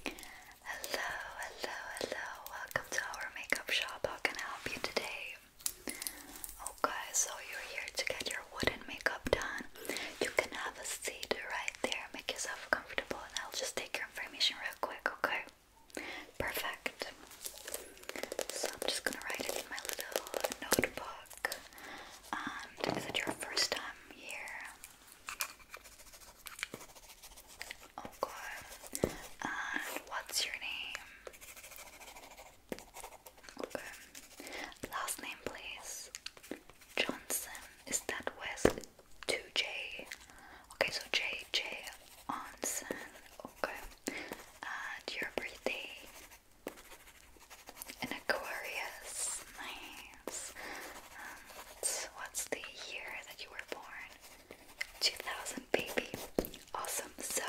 Hello, hello, hello. Welcome to our makeup shop. How can I help you today? Okay, oh, so you're here to get your wooden makeup done. You can have a seat right there. Make yourself comfortable and I'll just take your information real quick, okay? Perfect. So I'm just gonna write in my little notebook. is it your first time here? Okay. Oh, and what's your name? Last name, please. Johnson. Is that West? Two J. Okay, so J J Onsen. Okay. And your birthday. An Aquarius. Nice. Um, what's the year that you were born? 2000, baby. Awesome. So,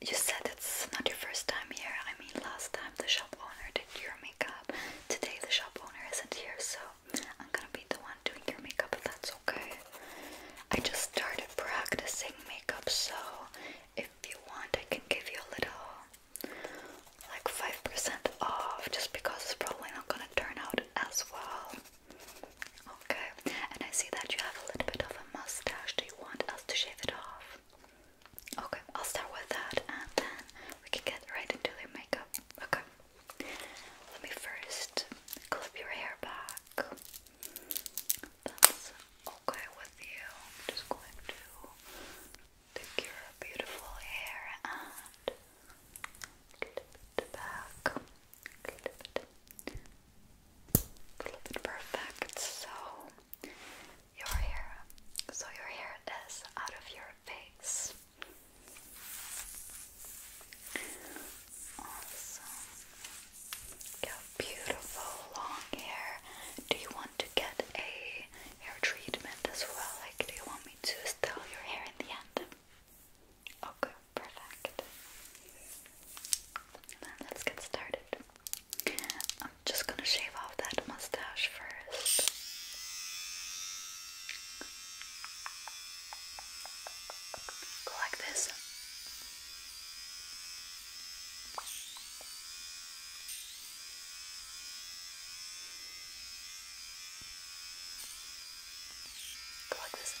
you said it's not your first time here. I mean, last time the shop owner did your makeup. Today the shop owner isn't here, so I'm gonna be the one doing your makeup, that's okay. I just started practicing makeup, so if you want, I can give you a little like 5% off just because it's probably not gonna turn out as well. Okay, and I see that you have a little bit of a mustache. Do you want us to shave it off? Okay, I'll start with that and then we can get right into the makeup. Okay, let me first clip your hair back. okay with you. just going to Take your beautiful hair and clip back. perfect. So your hair, so your hair is out of your face. Awesome. You beautiful long hair. Do you want to get a hair treatment as well? Like, do you want me to style your hair in the end? Okay, perfect. let's get started. I'm just gonna shave off that mustache first. like this. Plug this in.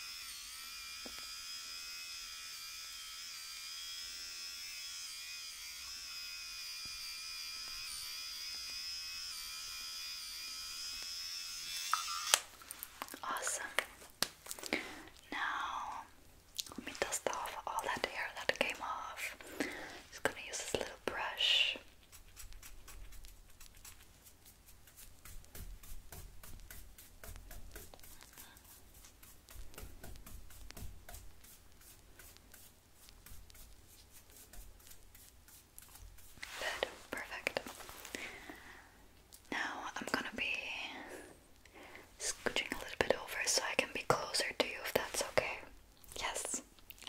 Awesome. Now, let me dust off all that hair that came off just gonna use this little brush. perfect. Now I'm gonna be scooching a little bit over so I can be closer to you if that's okay. Yes.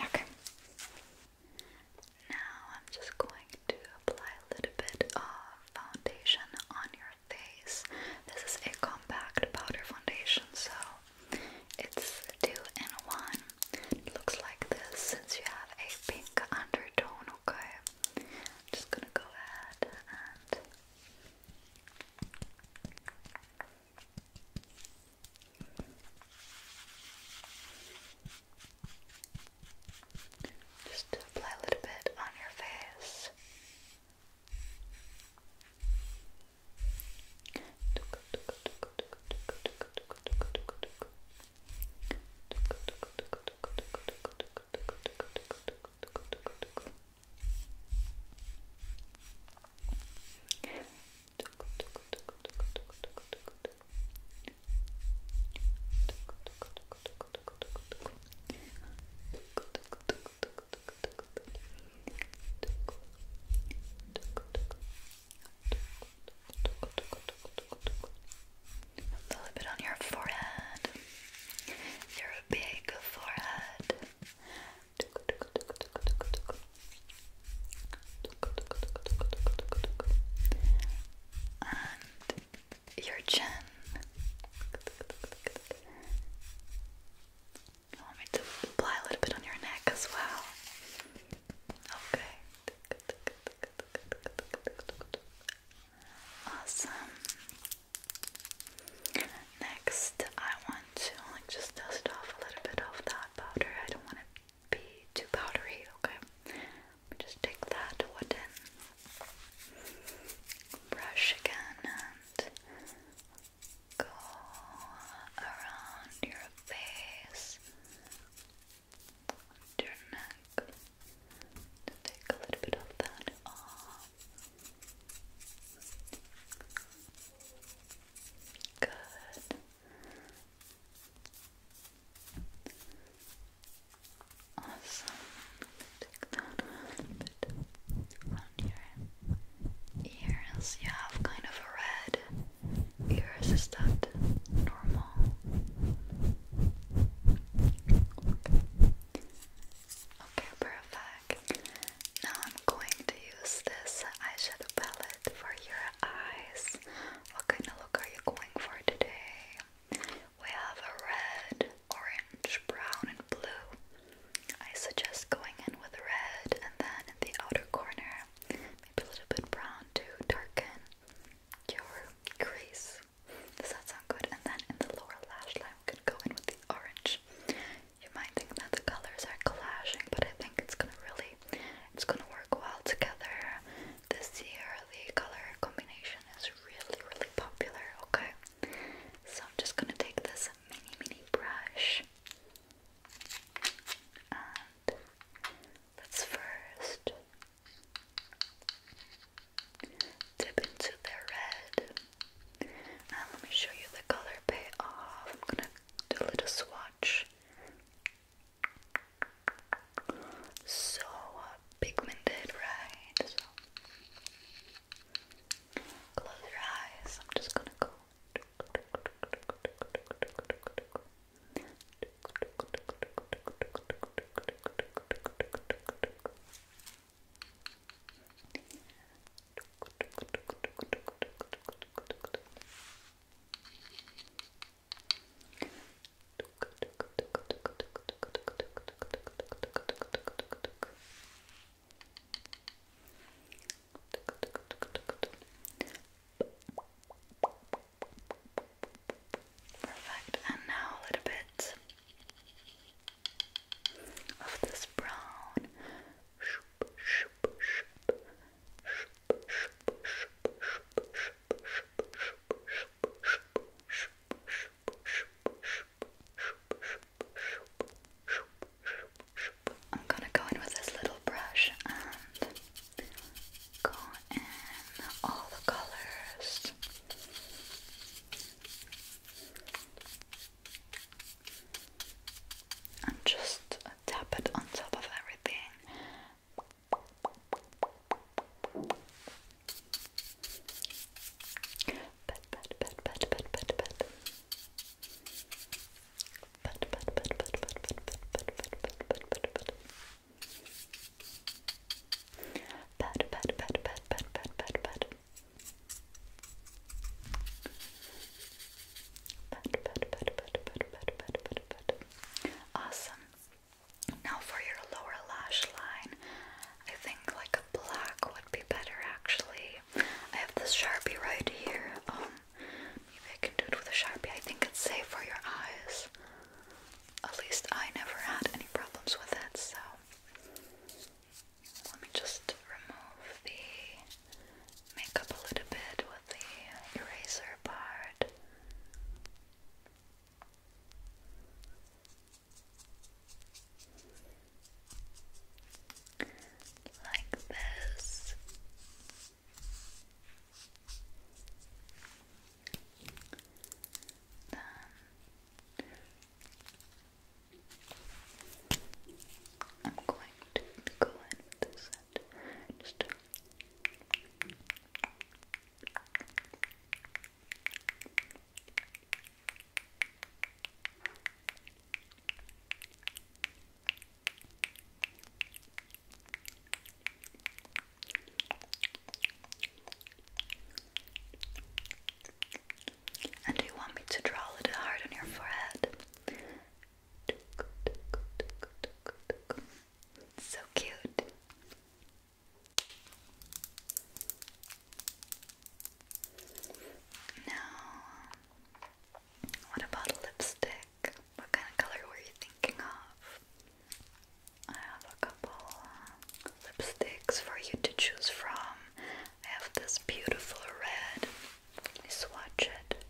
Okay. Now I'm just going to apply a little bit of foundation on your face. This is a compact powder foundation, so it's two in one. It looks like this since you have a pink undertone, okay? I'm just gonna go ahead and just to apply a little bit on your face. A little bit on your forehead. Your big forehead your chin. You want me to apply a little bit on your neck as well? Okay. Awesome. Next, I want to just dust off a little bit of that powder. I don't want it to be too powdery, okay? just take that wood brush again, and go around your face, your neck. To take a little bit of that off. Good. Awesome. ears. You have kind of a red ears. Is that normal? Okay, okay now I'm going to use this eyeshadow palette for your eyes. What kind of look are you going for today? We have a red, orange, brown, and blue. I suggest going in with red and then in the outer corner, maybe a little bit brown to darken your crease. Does that sound good? And then in the lower lash line, we could go in with the orange. You might think that the colors are clashing, but I think it's gonna really it's gonna work well together. This year the color combination is really really popular, okay? So I'm just gonna take this mini mini brush and let's first dip into the red um, let me show you the color payoff. I'm gonna do a little swatch. So uh, pigmented, right? close your eyes. I'm just gonna go. Perfect, and now a little bit of this brown. I'm gonna go in with this little brush and go in all the colors and just tap it on top of everything. Pat, pat, pat, pat, pat, pat, pat. Pat, pat, pat, pat, pat, pat, pat, pat, pat, pat, pat, pat. Pat, pat, pat, pat, pat, Pat, pat, pat, pat, pat, pat, pat, pat, Awesome. Now for your lower lash line, I think like a black would be better actually. I have this Sharpie right here. Um maybe I can do it with a Sharpie. I think it's safe for your eyes. At least I never had any problems with it, so let me just remove the makeup a little bit with the eraser part. Like this. Then I'm going to go in with set. Just and do you want me to draw a little heart on your forehead? So cute. Now, what about lipstick? What kind of color were you thinking of? I have a couple uh, lipsticks for you to choose from. I have this beautiful red. Let me swatch it.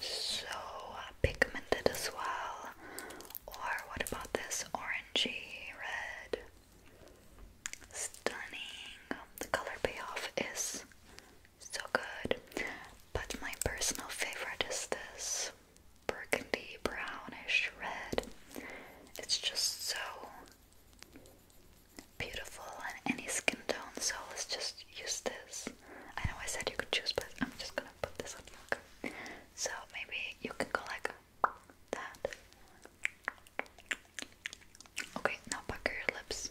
So uh, pigmented as well. Or what about this orangey red? Stunning. The color payoff is so good. But my personal favorite is this burgundy, brownish red. It's just so beautiful in any skin tone, so let's just use this. I know I said you could choose, but I'm just gonna put this on you. So maybe you can go like that. Okay, now pucker your lips.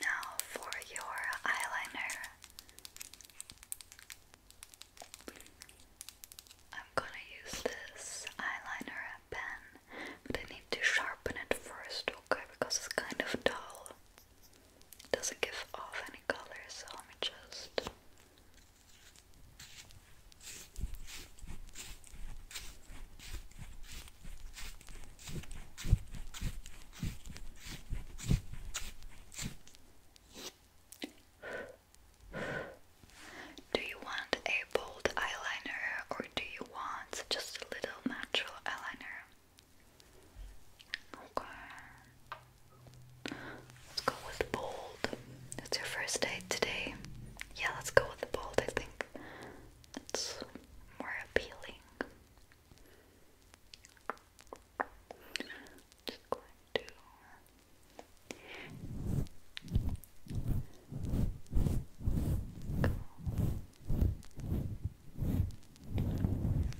Now for your eyeliner. I'm gonna use this eyeliner pen, but I need to sharpen it first, okay? Because it's kind of dull. doesn't give off any color, so let me just. Do you want a bold eyeliner or do you want just a little natural eyeliner? Okay. Let's go with bold. It's your first date today. Yeah, let's go with the bold, I think. It's more appealing. Just going to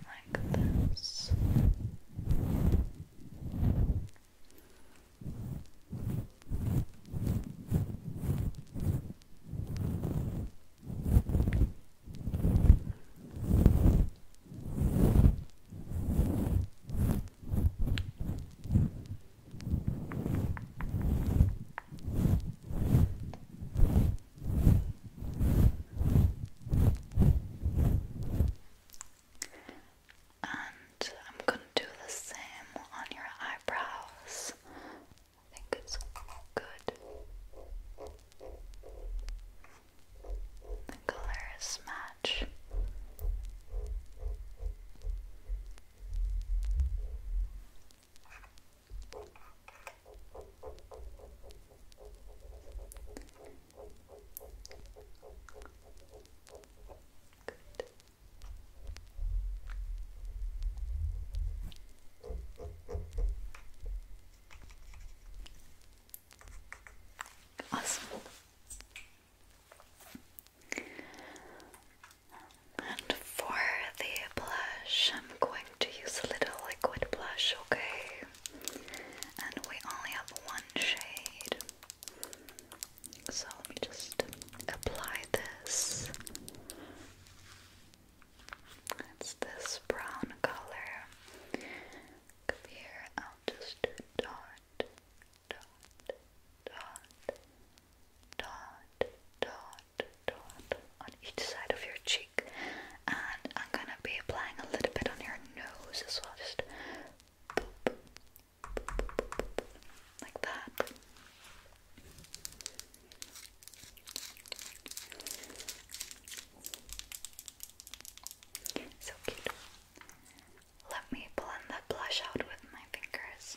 like this. And I'm going to do the same on your eyebrows I think it's good. The colors match. Good. Awesome. And for the blush, I'm going to use a little liquid blush, okay? And we only have one shade. So let me just apply this. It's this brown color. Come here, I'll just dot, dot, dot, dot, dot, dot on each side of your cheek. And I'm gonna be applying a little bit on your nose as well. Just like that. So cute. Let me blend that blush out with my fingers.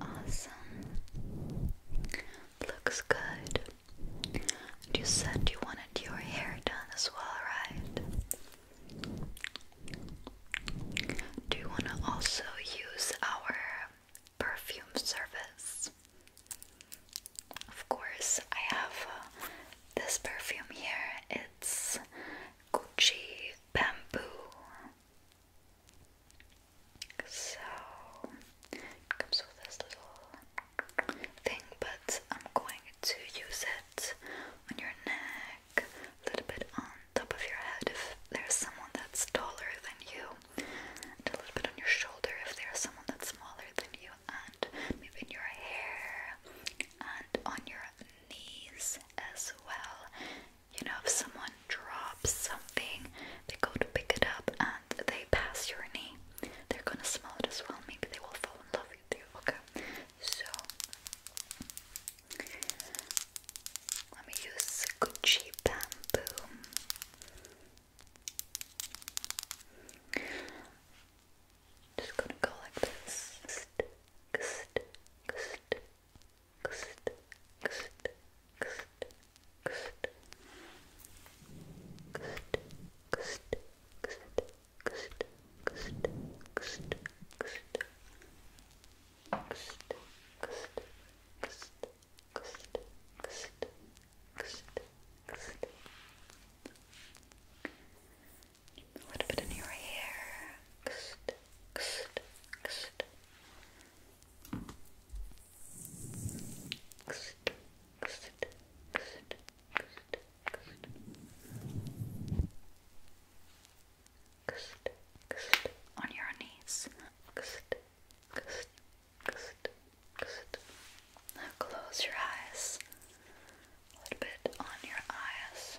Awesome. Looks good. you said you wanted your hair done as well, right? Do you want to also use our perfume service? Of course, I have uh, this perfume here. It's Gucci bamboo. So comes with this little thing, but I'm going to use it on your neck, a little bit on top of your head if there's someone that's taller than you, and a little bit on your shoulder if there's someone that's smaller than you, and maybe in your hair and on your knees as well. You know, if someone drops something, they go to pick it up and they pass your knee. They're gonna smell it as well. Maybe they will fall in love with you. Okay, so let me use Gucci bamboo. Just gonna go like this a little bit in your hair. on your knees. Now close your eyes. A little bit on your eyes.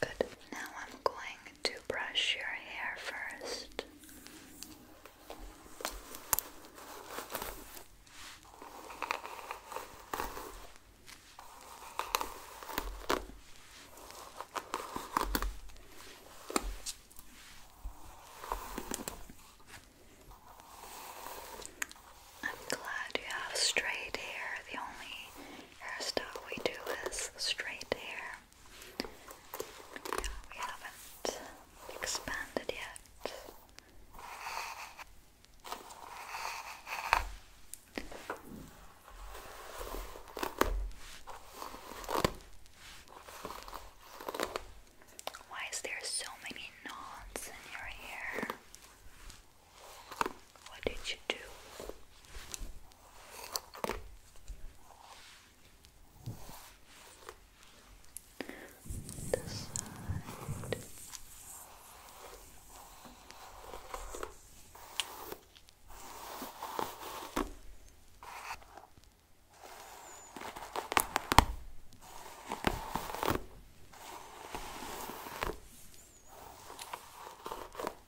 Good. Now I'm going to brush your hair first. I'm glad you have straight hair. The only hairstyle we do is straight hair we haven't expanded yet. Why is there so many knots in your hair? What did you do? This side. Good.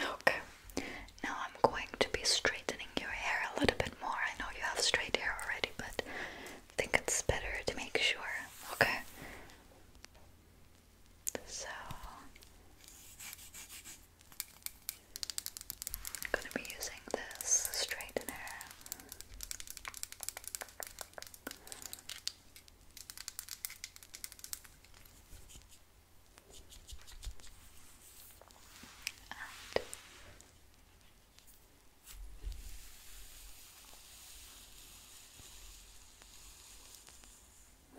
Okay, now I'm going to be straightening your hair a little bit more. I know you have straight hair already, but I think it's better to make sure. Okay, so I'm going to be using this straightener.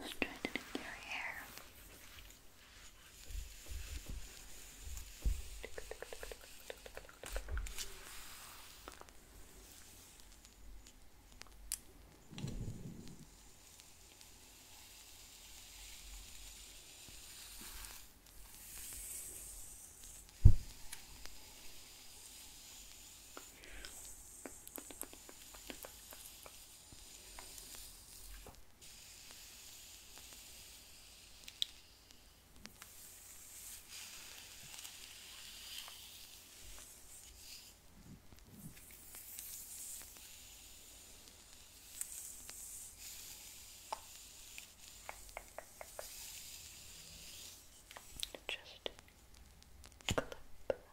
I'm trying to get your hair. Just clip that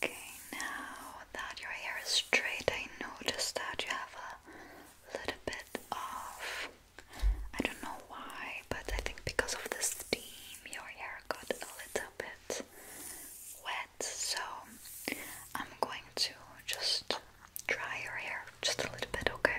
Okay, now that your hair is straight, I noticed that you have a little bit of I don't know why, but I think because of the steam, your hair got a little bit wet. So I'm going to just dry your hair just a little bit, okay?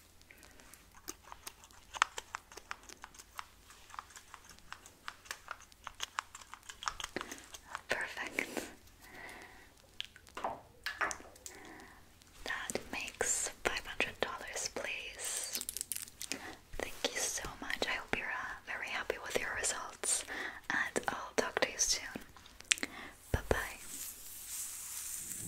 Perfect. That makes five hundred dollars, please. Thank you so much. I hope you're uh, very happy with your results, and I'll talk to you soon. Bye bye.